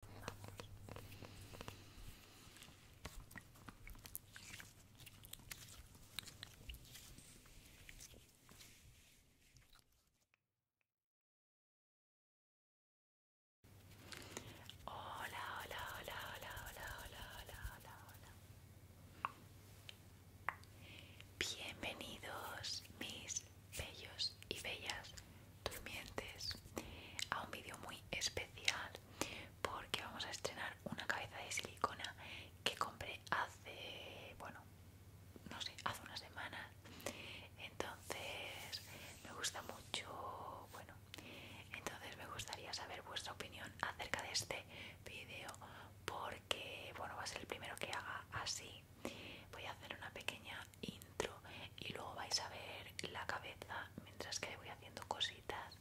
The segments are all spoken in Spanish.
Hola, hola, hola, hola, hola, hola, hola, hola, hola. Bienvenidos mis bellos y bellas durmientes a un vídeo muy especial porque vamos a estrenar una cabeza de silicona que compré hace, bueno, no sé, hace una semana. Entonces, me gusta mucho, bueno, entonces me gustaría saber vuestra opinión acerca de este vídeo porque, bueno, va a ser el primero que haga así. Voy a hacer una pequeña intro y luego vais a ver la cabeza mientras que voy haciendo cositas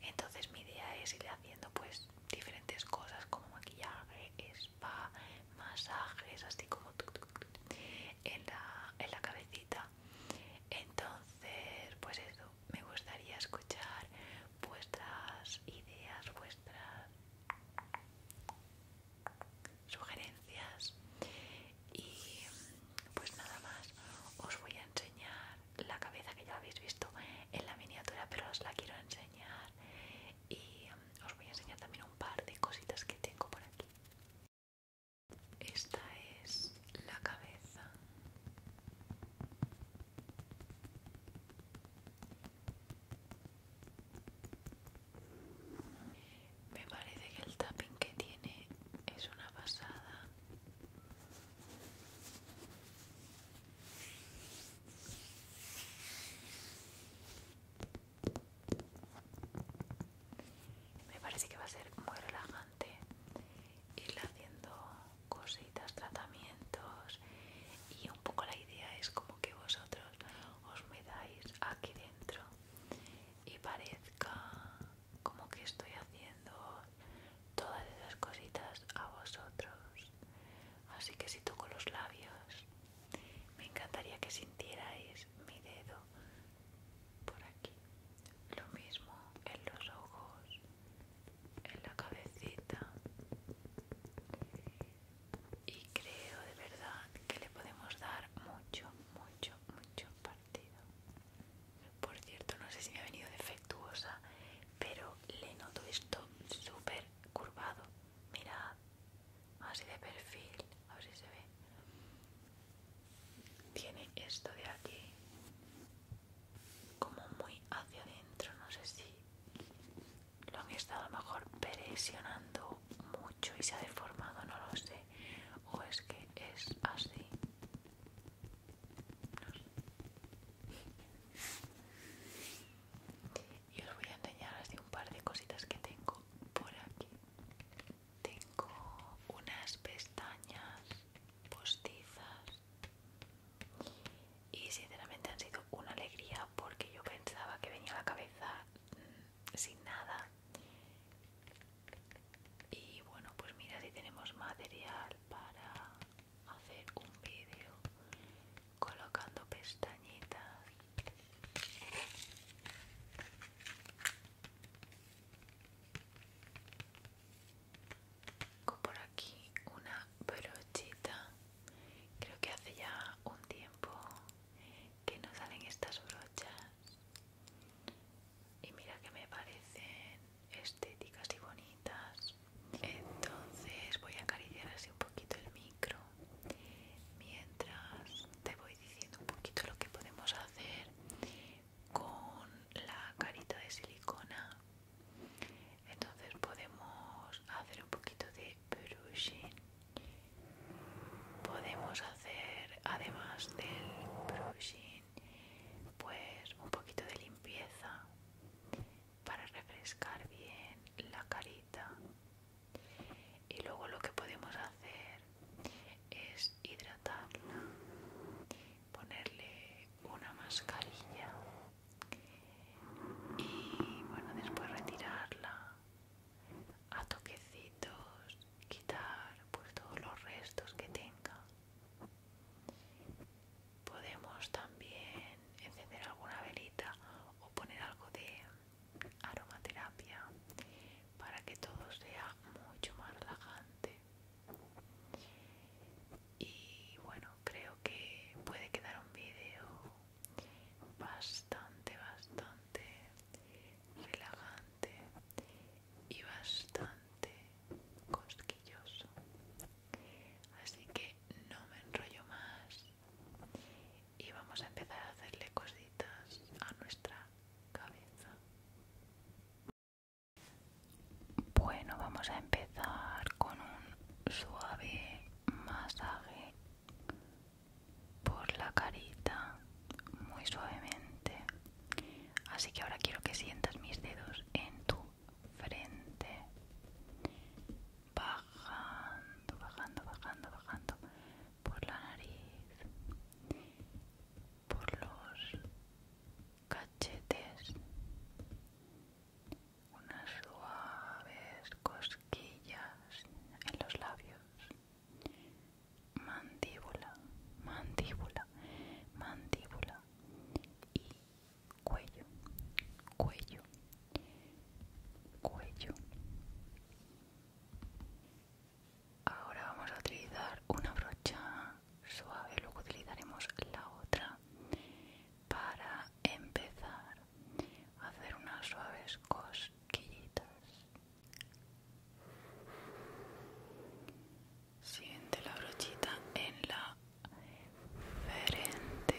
entonces mi idea es ir haciendo pues diferentes cosas como maquillaje, spa, masajes así como en, la, en la cabecita entonces pues eso me gustaría escuchar vuestras ideas, vuestras sugerencias y pues nada más os voy a enseñar la cabeza que ya habéis visto en la miniatura pero os la quiero enseñar y mm, os voy a enseñar también un par de cositas que tengo por aquí esta es la cabeza me parece que el tapping que tiene es una pasada. Me parece que va a ser muy relajante ir haciendo cositas, tratamientos y un poco la idea es como que vosotros os metáis aquí dentro y parezca como que estoy haciendo todas esas cositas a vosotros. Así que si toco los labios, me encantaría que sintierais mi dedo por aquí. Lo mismo en los ojos, en la cabecita y creo de verdad que le podemos dar mucho, mucho, mucho partido. Por cierto, no sé si me ha venido defectuosa, pero le noto esto súper curvado. Mirad, así de perfil, a ver si se ve. Tiene esto de aquí como muy hacia adentro, no sé si lo han estado a lo mejor presionando mucho y se ha deformado, no lo sé. O es que es así. No Y os voy a enseñar así un par de cositas que tengo por aquí. Tengo unas pestañas postizas y sinceramente han sido una alegría porque yo pensaba que venía la cabeza sin nada y bueno pues mira si tenemos material para hacer un vídeo colocando pestañitas por aquí una brochita creo que hace ya un tiempo que no salen estas brochas y mira que me parecen estéticas y bonitas entonces voy a acariciar así un poquito el micro mientras te voy diciendo un poquito lo que podemos hacer con la carita de silicona entonces podemos hacer un poquito de podemos hacer además del brushing pues un poquito de limpieza para refrescar bien la carita y luego lo que podemos hacer es hidratarla ponerle una mascarilla y bueno después retirarla a toquecitos quitar pues todos los restos que tenga podemos también encender alguna velita o poner algo de aromaterapia para que todo sea mucho más relajante y bueno creo que puede quedar un vídeo bastante, bastante relajante y bastante cosquilloso. Así que no me enrollo más y vamos a empezar a hacerle cositas a nuestra cabeza. Bueno, vamos a empezar con un suave masaje por la carita muy suavemente. Así que ahora quiero que sientas mis dedos en tu frente. Bajando, bajando, bajando, bajando por la nariz, por los cachetes, una suave cosquillas en los labios, mandíbula, mandíbula, mandíbula y cuello, cuello, cuello. Ahora vamos a utilizar una brocha suave, luego utilizaremos la otra para empezar a hacer unas suaves cosquillas Siente la brochita en la frente.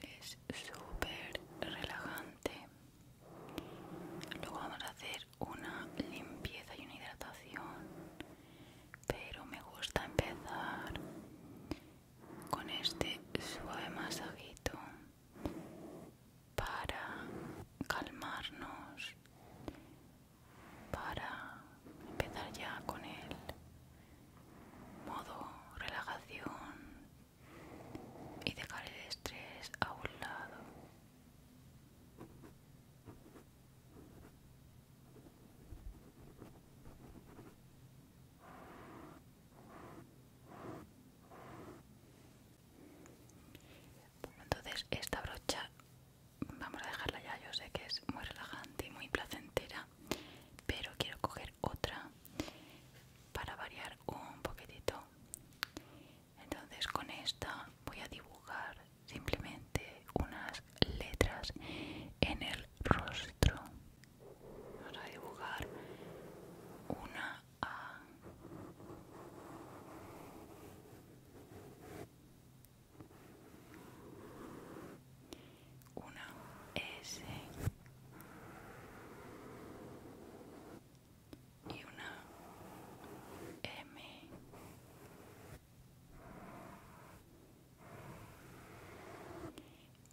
Es súper relajante. Luego vamos a hacer una limpieza y una hidratación, pero me gusta empezar con este suave masajito para calmarnos, para empezar ya con el modo relajación y dejar el estrés a un lado. Entonces esta brocha vamos a dejarla ya, yo sé que es muy relajante y muy placentera, pero quiero coger otra para variar un poquitito. Entonces con esta voy a dibujar simplemente de unas letras en el rostro. Vamos dibujar una A. Una S y una M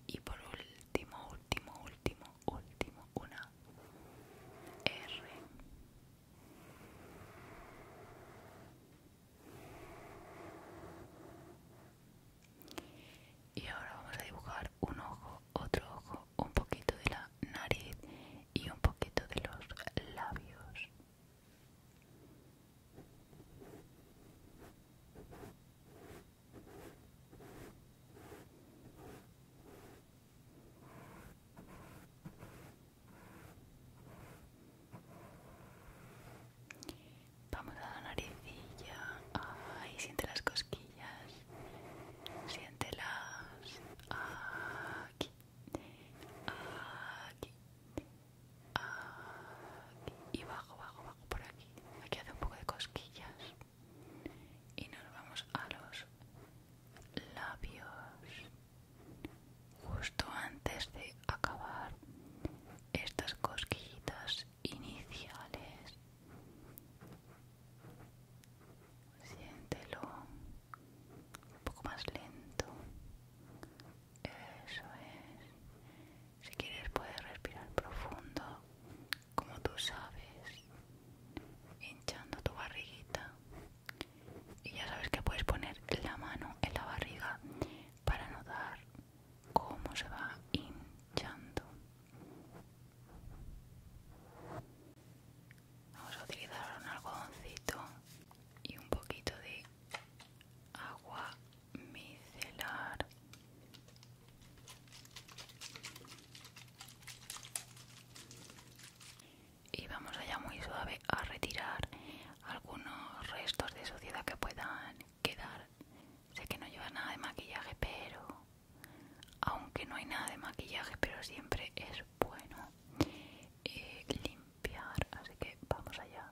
y por último, último, último, último, una R. Y ahora vamos a dibujar un ojo, otro ojo, un poquito de la nariz y un poquito de los labios. Vamos a la naricilla. Ay, siente las cosquillas. Siéntelas. Aquí. Aquí. Ah, y bajo, bajo, bajo por aquí. Aquí hace un poco de cosquillas. Y nos vamos a los labios. Justo antes de acabar estas cosquillitas iniciales. Siéntelo un poco más lento. Eso es. Si quieres puedes respirar profundo, como tú sabes, hinchando tu barriguita. Y ya sabes que puedes poner la mano en la barriga para notar cómo se va hinchando. Vamos a utilizar un algodoncito y un poquito de agua micelar y vamos allá muy suave a retirar algunos restos de suciedad que puedan quedar sé que no lleva nada de maquillaje pero aunque no hay nada de maquillaje pero siempre es bueno eh, limpiar así que vamos allá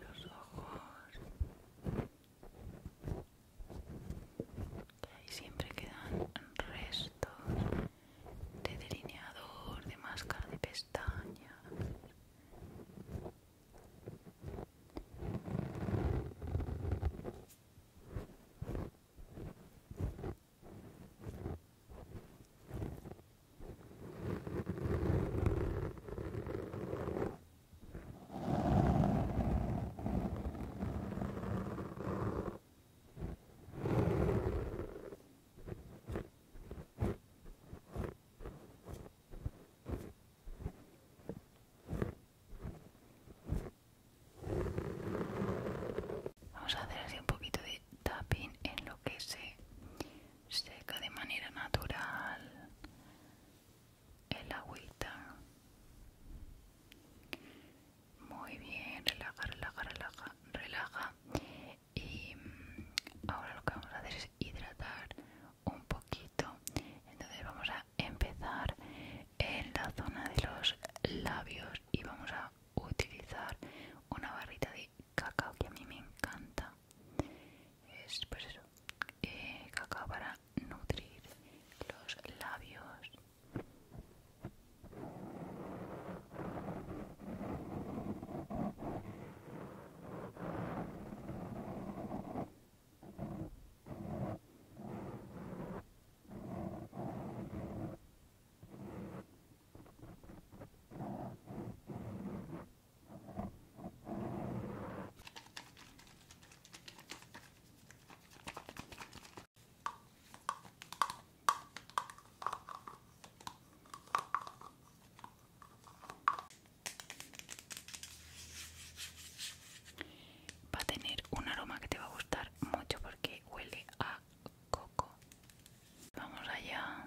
los ojos siempre quedan restos de delineador de máscara de pestañas Vamos a hacer así un poquito de tapping en lo que se seca de manera natural el agüita muy bien relaja relaja relaja relaja y mm, ahora lo que vamos a hacer es hidratar un poquito entonces vamos a empezar en la zona de los labios y vamos a utilizar una barrita de cacao que a mí me encanta es pues eso eh, cacao para nutrir los labios Va a tener un aroma que te va a gustar mucho porque huele a coco. Vamos allá.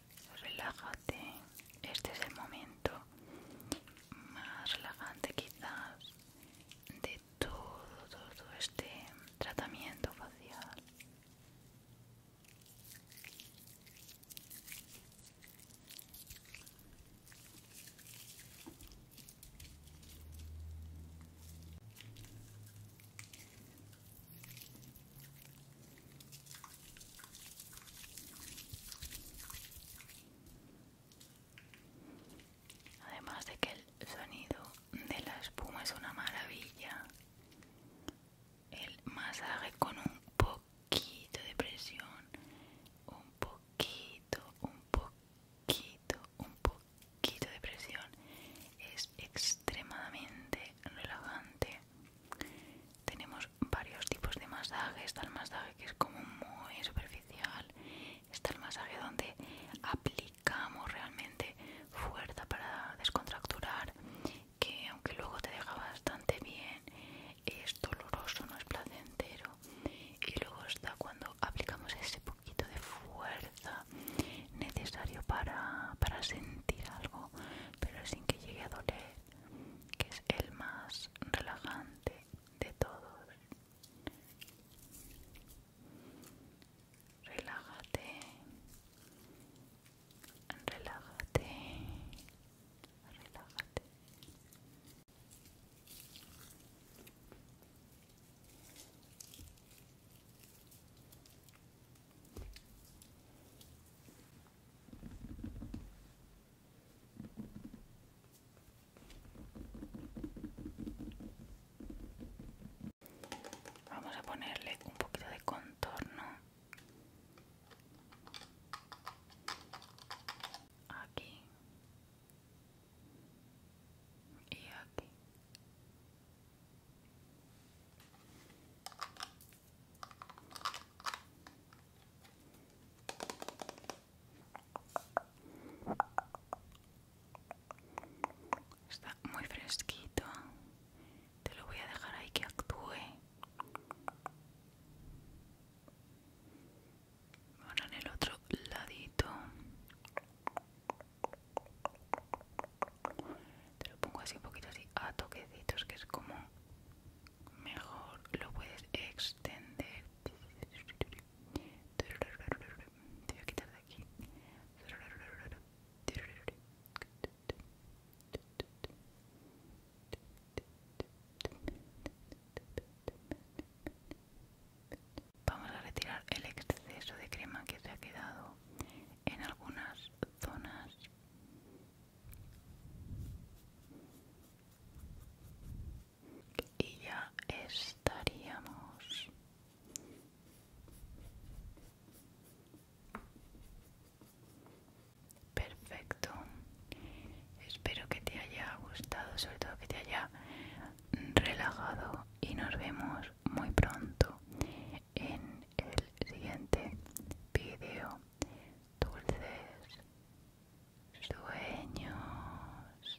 relájate. Este es el momento más relajante quizás de todo, todo este tratamiento facial. Además de que el sonido de la espuma es una maravilla, el masaje con un poquito de presión, un poquito, un poquito, un poquito de presión es extremadamente relajante tenemos varios tipos de masaje. Está el masaje que es como muy superficial. Está el masaje donde aplicamos realmente fuerza para descontracturar, que aunque luego te deja bastante bien, es doloroso, no es placentero. Y luego está cuando aplicamos ese poquito de fuerza necesario para, para sentir algo, pero sin que llegue a doler que es el más relajante de todos. Relájate, relájate, relájate. Vamos a ponerle un poquito de contorno aquí y aquí Está muy fresquito. Te lo voy a dejar ahí que actúe. Ahora en el otro ladito te lo pongo así un poquito así a toquecitos que es como mejor lo puedes extender te voy a quitar de aquí Vamos a retirar el exceso de crema que se ha quedado en algunas zonas y ya estaríamos perfecto espero que te haya gustado sobre todo que te haya relajado y nos vemos muy pronto en el siguiente vídeo. Dulces sueños.